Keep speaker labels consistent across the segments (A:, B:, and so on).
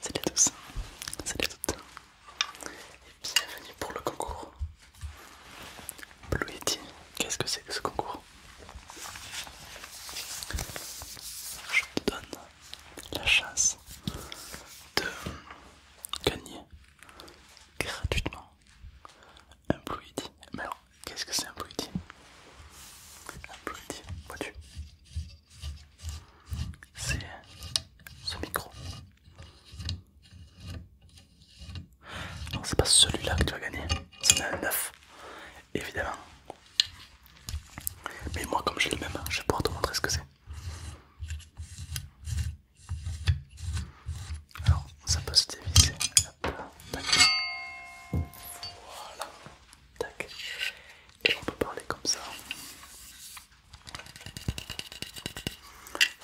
A: Salut à tous, salut à toutes, et bienvenue pour le concours Blue Yeti. Qu'est-ce que c'est que ce concours Je te donne la chance de gagner gratuitement un Blue Yeti. Mais qu'est-ce que c'est un bruit? Un Pretty, vois-tu C'est ce micro. Non, c'est pas celui-là que tu vas gagner, c'est un neuf, évidemment. Mais moi, comme j'ai le même, je vais pouvoir te montrer ce que c'est. Alors, ça peut se dévisser. Voilà. Tac. Et on peut parler comme ça.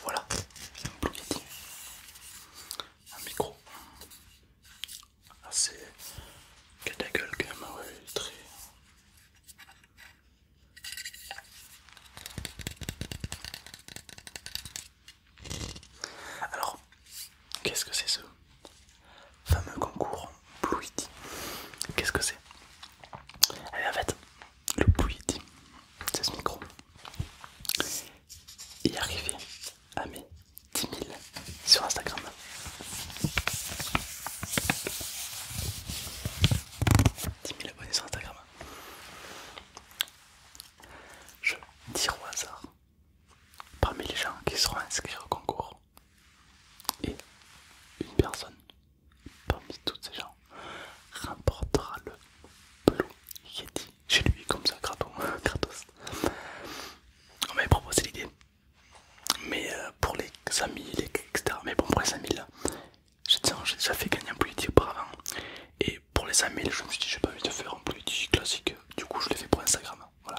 A: Voilà, un micro assez que la quand même, très. Alors, Qu'est-ce que c'est ce fameux concours Yeti Qu'est-ce que c'est En fait, le Yeti, c'est ce micro. est arrivé à mes 10 000 sur Instagram. 10 000 abonnés sur Instagram. Je tire au hasard parmi les gens qui seront inscrits au concours et une personne parmi toutes ces gens remportera le Blue Yeti chez lui, comme ça, gratos. On m'avait proposé l'idée, mais euh, pour les amis, les etc. Mais bon, pour les amis là, j'ai déjà fait gagner un Blue Yeti auparavant. Et pour les amis, je me suis dit, j'ai pas envie de faire un Blue classique, du coup, je l'ai fait pour Instagram. Voilà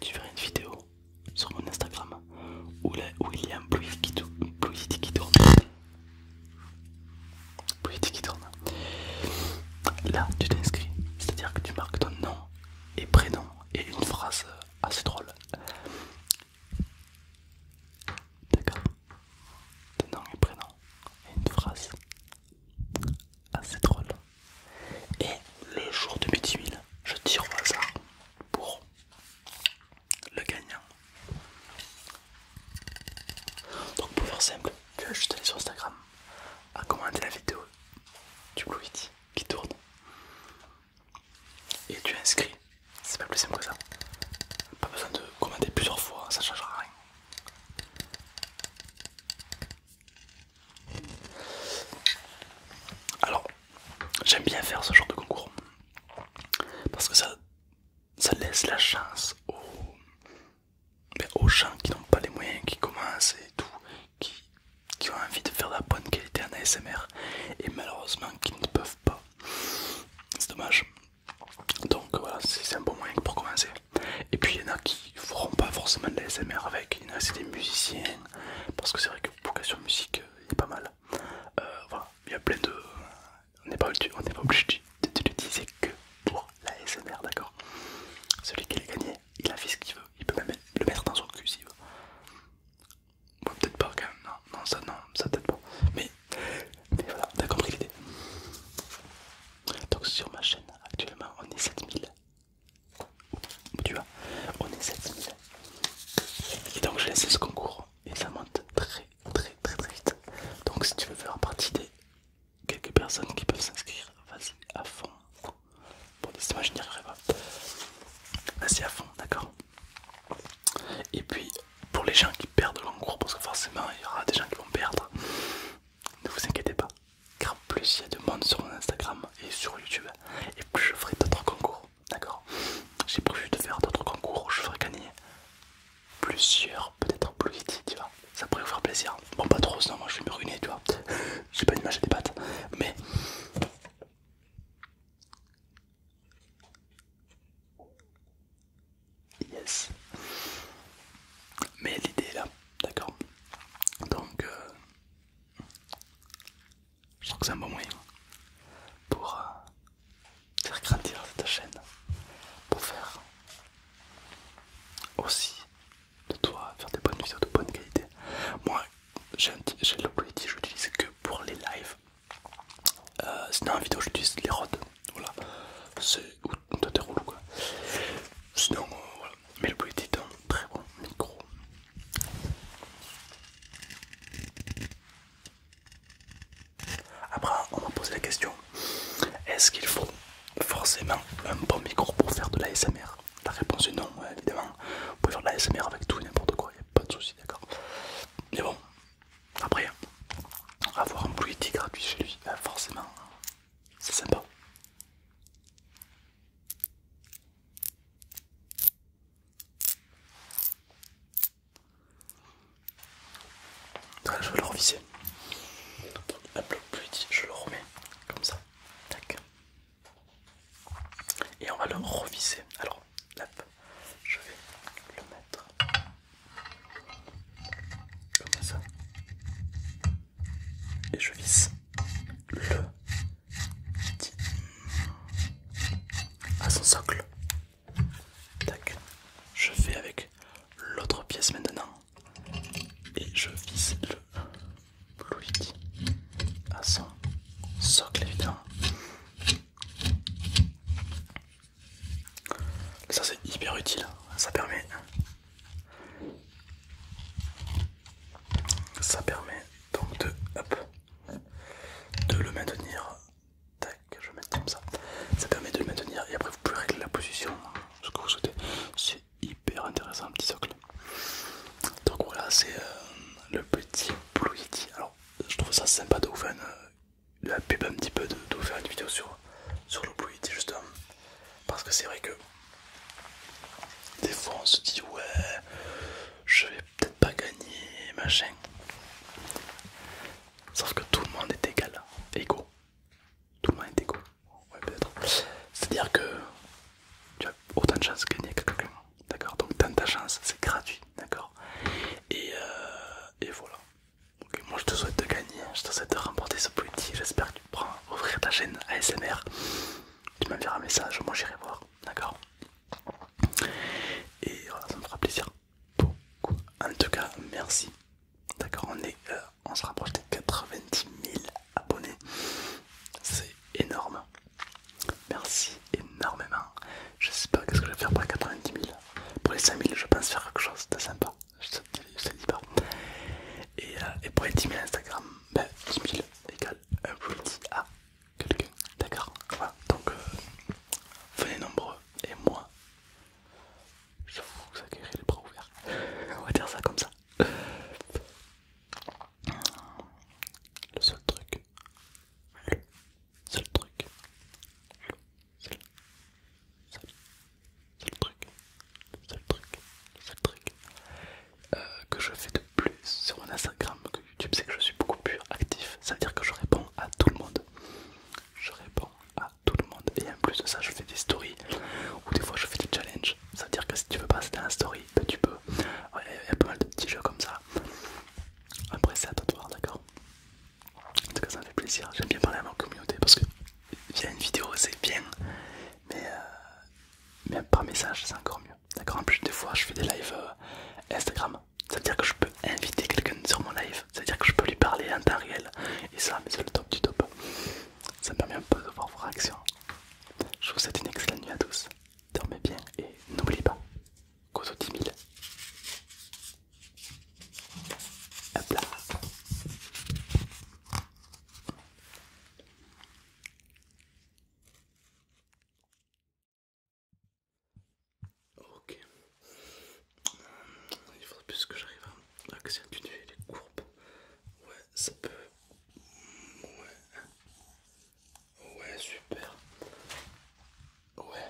A: tu verras une vidéo sur mon Instagram où, il y a un Blue qui, tourne. Blue qui tourne. Là, tu t'inscris, c'est-à-dire que tu marques ton nom et prénom et une phrase assez drôle. D'accord Ton nom et prénom et une phrase assez drôle. Et le jour de midi 10 je tire au hasard pour le gagnant. Donc pour faire simple, tu vas juste aller sur Instagram à commenter la vidéo du Blue Yeti qui tourne et tu inscris. C'est pas plus simple que ça. Pas besoin de commenter plusieurs fois, ça changera rien. Alors, j'aime bien faire ce genre de concours parce que ça, laisse la chance ben, aux, gens qui n'ont pas les moyens, qui commencent et tout, qui, qui ont envie de faire de la bonne qualité en ASMR et malheureusement qui ne peuvent pas. C'est dommage. Donc voilà, c'est un bon moyen pour commencer. Et puis il y en a qui feront pas forcément de l'ASMR avec, il y en a c'est des musiciens, parce que c'est vrai que vocation musique euh, il a pas mal. Euh, voilà, il y a plein de. On n'est pas, obligé de, l'utiliser que pour la l'ASMR, d'accord Celui qui l'a gagné, il a fait ce qu'il veut, il peut même le mettre dans son cul s'il veut. peut-être pas quand même, non, non ça non, ça peut-être pas. Mais, mais voilà, t'as compris l'idée. Donc sur ma chaîne actuellement on est 7000 tu vois, on est 7000. Et donc, j'ai laissé ce concours et ça monte très, très, très, très vite. Donc, si tu veux faire partie des quelques personnes qui peuvent s'inscrire, vas-y à fond. Bon, décidément, je n'y arriverai pas. Vas-y à fond, d'accord Et puis, pour les gens qui perdent le concours, parce que forcément, il y aura des gens qui vont perdre, ne vous inquiétez pas, car plus il y a de monde sur mon Instagram et sur YouTube, et plus je ferai d'autres concours. D'accord J'ai prévu de faire d'autres concours je ferai gagner plusieurs, peut-être plus vite, tu vois. Ça pourrait vous faire plaisir. Bon, pas trop, sinon moi je vais me ruiner, tu vois. J'ai pas d'image des pattes, mais. Yes. Mais l'idée est là, d'accord Donc, euh, je trouve que c'est un bon moyen pour euh, faire grandir cette chaîne, pour faire aussi de toi faire des bonnes vidéos de bonne qualité. Moi, j'ai le Pretty, je que pour les lives. Euh, sinon, en vidéo, j'utilise les rods. Voilà, c'est ou des rouleaux quoi. Sinon, euh, voilà mais le Blue est un très bon micro. Après, on m'a posé la question est-ce qu'il faut forcément un bon micro pour faire de l'ASMR La réponse est non, évidemment. Vous pouvez faire de la l'ASMR avec tout et n'importe quoi, il a pas de souci, d'accord Mais bon, après, avoir un Blue gratuit chez lui, bah, forcément, c'est sympa. je vais le revisser. Un peu plus petit, je le remets comme ça. Tac. Et on va le revisser. Alors, là, je vais le mettre comme ça et je visse le à son socle. Je fais avec l'autre pièce maintenant et je visse le à son socle évidemment. Ça c'est hyper utile, ça permet ça permet donc de, de le maintenir. Tac, je vais comme ça. Ça permet de le maintenir et après vous pouvez régler la position, ce que vous souhaitez. C'est hyper intéressant le petit socle. Donc voilà, c'est euh, le petit Blue Yeti. Alors je trouve ça sympa de vous faire une, euh, la pub un petit peu, de, vous faire une vidéo sur, sur le Blue Yeti justement. Parce que c'est vrai que des fois on se dit ouais je vais peut-être pas gagner machin. Sauf que tout le monde est égal, égaux. Tout le monde est égaux. Ouais peut-être. C'est-à-dire que tu as autant de chances de gagner que quelqu'un. D'accord Donc tant ta chance, c'est gratuit, d'accord euh, et, voilà. moi je te souhaite de gagner, je te souhaite de remporter ce petit, j'espère que pour ouvrir ta chaîne ASMR, tu m'enverras un message, moi j'irai voir, d'accord Et ça me fera plaisir. Beaucoup. En tout cas, merci. D'accord, on est, euh, on se rapproche des 90 000 abonnés. C'est énorme. Merci énormément. Je sais pas qu'est-ce que je vais faire pour les 90 000. Pour les 5000 je pense faire quelque chose de sympa. Je te, dis pas. Euh, et pour les 10 000 Instagram, 10 ben, 000 égale un multi à quelqu'un. D'accord Voilà, donc euh, venez nombreux et moi, je vous accueillerai les bras ouverts. On va dire ça comme ça. Le seul truc, le seul truc, le seul, seul, c'est le truc, c'est le truc, c'est le truc euh, que je fais de plus sur mon Instagram que YouTube, c'est que je suis beaucoup plus actif. Ça veut dire que je réponds à tout le monde. Je réponds à tout le monde. Et en plus de ça, je fais des stories ou des fois je fais des challenges. Ça veut dire que si tu veux passer dans la story, ben, tu peux. Il y a pas mal de petits jeux comme ça. Après, c'est à toi de voir, d'accord En tout cas, ça me fait plaisir. J'aime bien parler à ma communauté parce que via une vidéo, c'est bien. Mais euh, même par message, c'est encore mieux. D'accord En plus, des fois, je fais des lives euh, Instagram. C'est-à-dire que je peux inviter quelqu'un sur mon live. C'est-à-dire que je peux lui parler en temps réel. Et ça, c'est le top du top. Ça me permet un peu de voir vos réactions. Je vous souhaite une excellente nuit à tous. Dormez bien et n'oubliez pas, cause aux 10 000. Hop là. Ok. Il faudrait plus que j'arrive à accentuer les courbes. Ouais, ça peut. Ouais. Ouais, super. Ouais.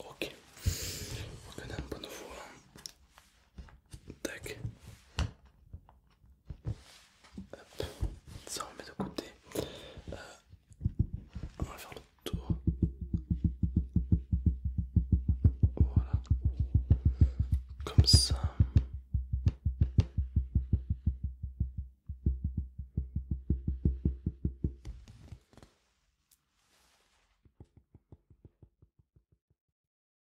A: Ok. On est en bonne voie. Tac. Ça on met de côté. Euh, on va faire le tour. Voilà. Comme ça.